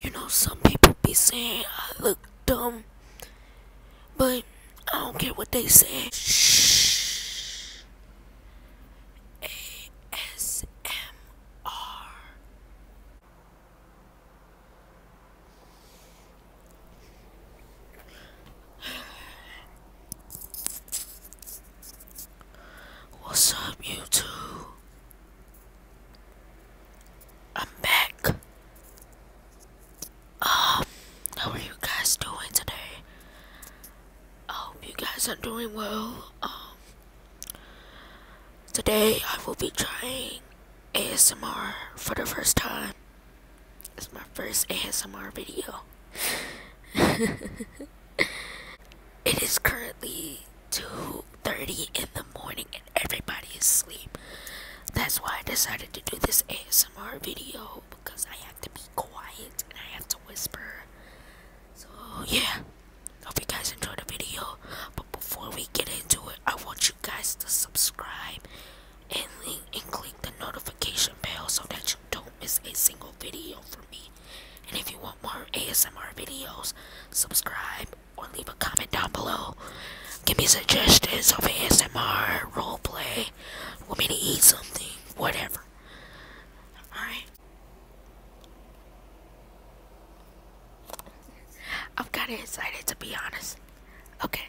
You know, some people be saying I look dumb, but I don't care what they say. Shh. ASMR. What's up, YouTube? I'm back. Um, how are you guys doing today? I hope you guys are doing well. Um, today I will be trying ASMR for the first time. It's my first ASMR video. It is currently 2:30 in the morning and everybody is asleep. That's why I decided to do this ASMR video because I have to be quiet and I have to whisper. So yeah, hope you guys enjoy the video. But before we get into it, I want you guys to subscribe and, and click the notification bell so that you don't miss a single video from me. And if you want more ASMR videos, subscribe or leave a comment down below. Give me suggestions of ASMR, roleplay, want me to eat something, whatever. Alright. I'm kinda excited to be honest. Okay.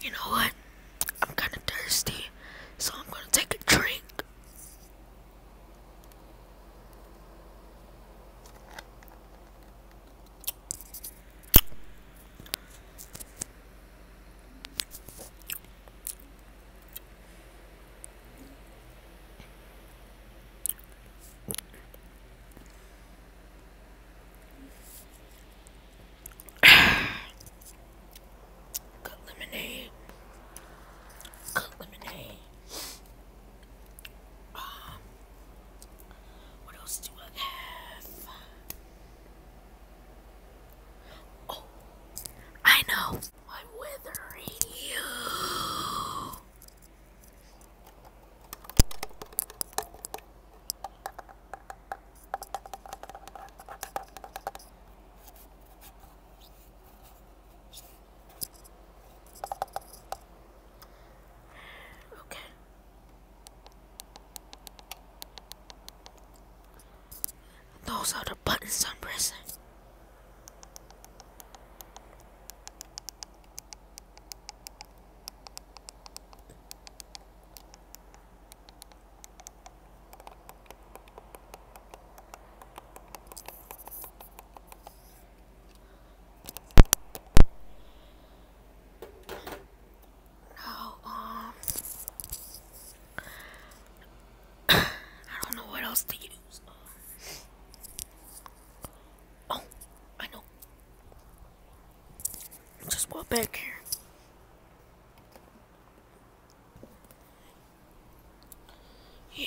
You know what? I'm kind of thirsty, so I'm going to take a drink. Got lemonade. Got lemonade. Um, what else do I have? Oh, I know. I'm withering you. Okay. Those are the buttons I'm pressing. Now, um, I don't know what else to use. Um, oh, I know. Just walk back here. Yeah.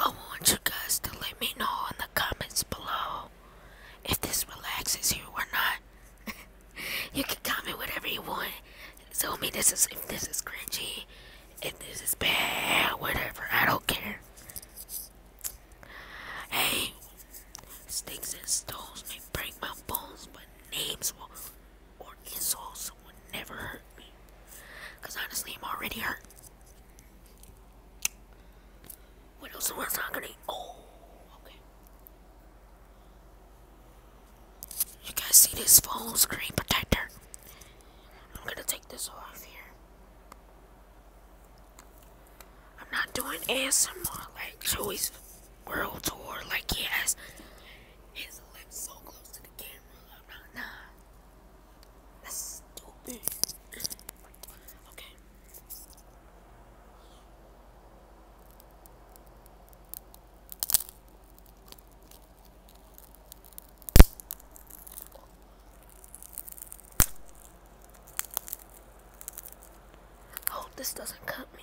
I want you guys to let me know in the comments below if this relaxes you or not. you can comment whatever you want. Tell me this is if this is cringy if this is bad, whatever, I don't care. Hey, sticks and stones may break my bones, but names will, or insults will never hurt me. Because honestly, I'm already hurt. What else am I talking to? Oh, okay. You guys see this phone screen protector? I'm gonna take this off here. I'm not doing more like choice World Tour, like yes. his lips so close to the camera. i nah. That's stupid. okay. Hope this doesn't cut me.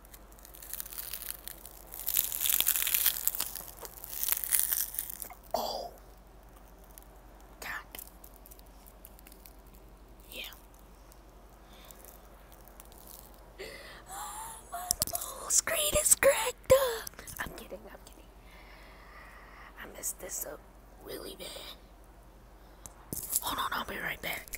Oh, Yeah. Oh, my whole cracked up. I'm kidding, I'm kidding. I messed this up really bad. Hold on, I'll be right back.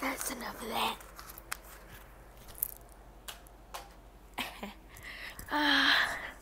That's enough of that. Ah.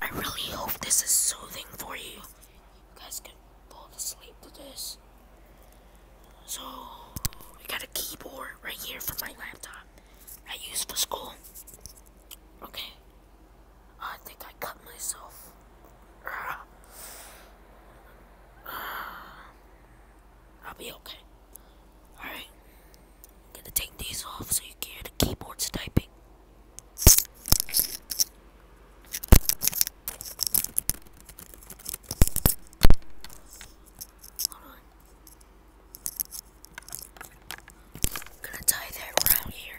I really hope this is soothing for you. You guys can fall asleep to this. So, we got a keyboard right here for my laptop. I use for school. Okay. I think I cut myself. I'll be okay. Alright. I'm gonna take these off so you can hear the keyboards typing. Hold on. I'm gonna tie that around here.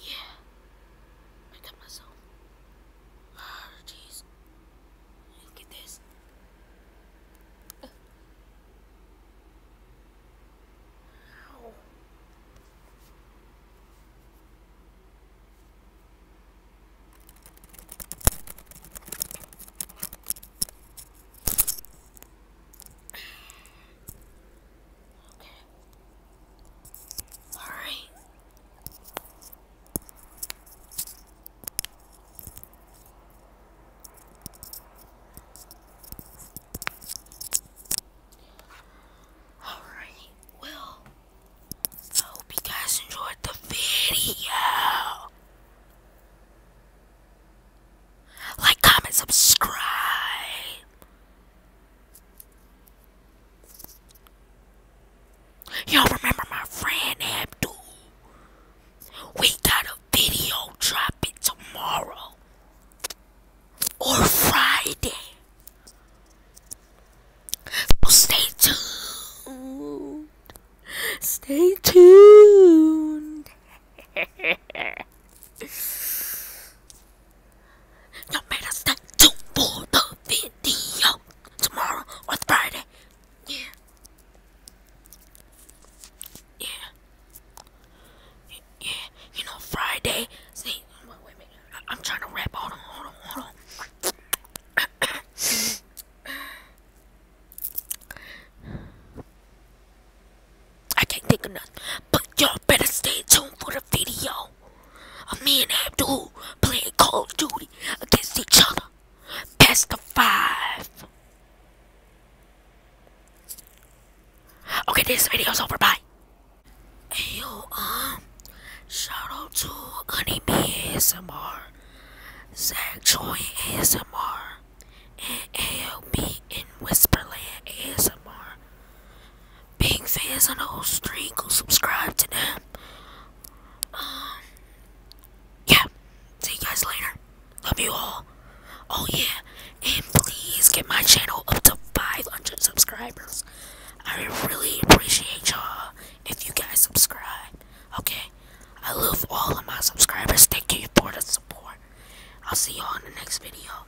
Yeah. I got myself. Oh, jeez. Look at this. Okay. All right. Alright, well, I hope you guys enjoyed the video. Like, comment, subscribe. Y'all remember my friend Abdul? We got a video dropping tomorrow or Friday. So stay tuned. Stay tuned. Don't make stay tuned for the video tomorrow or Friday. Yeah. Yeah. Yeah. You know, Friday. See, I am trying to rap. Hold on, on, on. I can't think of nothing. But y'all better stay tuned for the video ago, me and Abdul playing Call of Duty against each other. Best of five. Okay, this video's over. Bye. Hey, yo, um, shout out to Anime ASMR, Zach Joy ASMR, and ALB in Whisperland ASMR big fans on the whole street. Go subscribe to them. Um, yeah. See you guys later. Love you all. Oh yeah, and please get my channel up to 500 subscribers. I really appreciate y'all if you guys subscribe. Okay, I love all of my subscribers. Thank you for the support. I'll see y'all in the next video.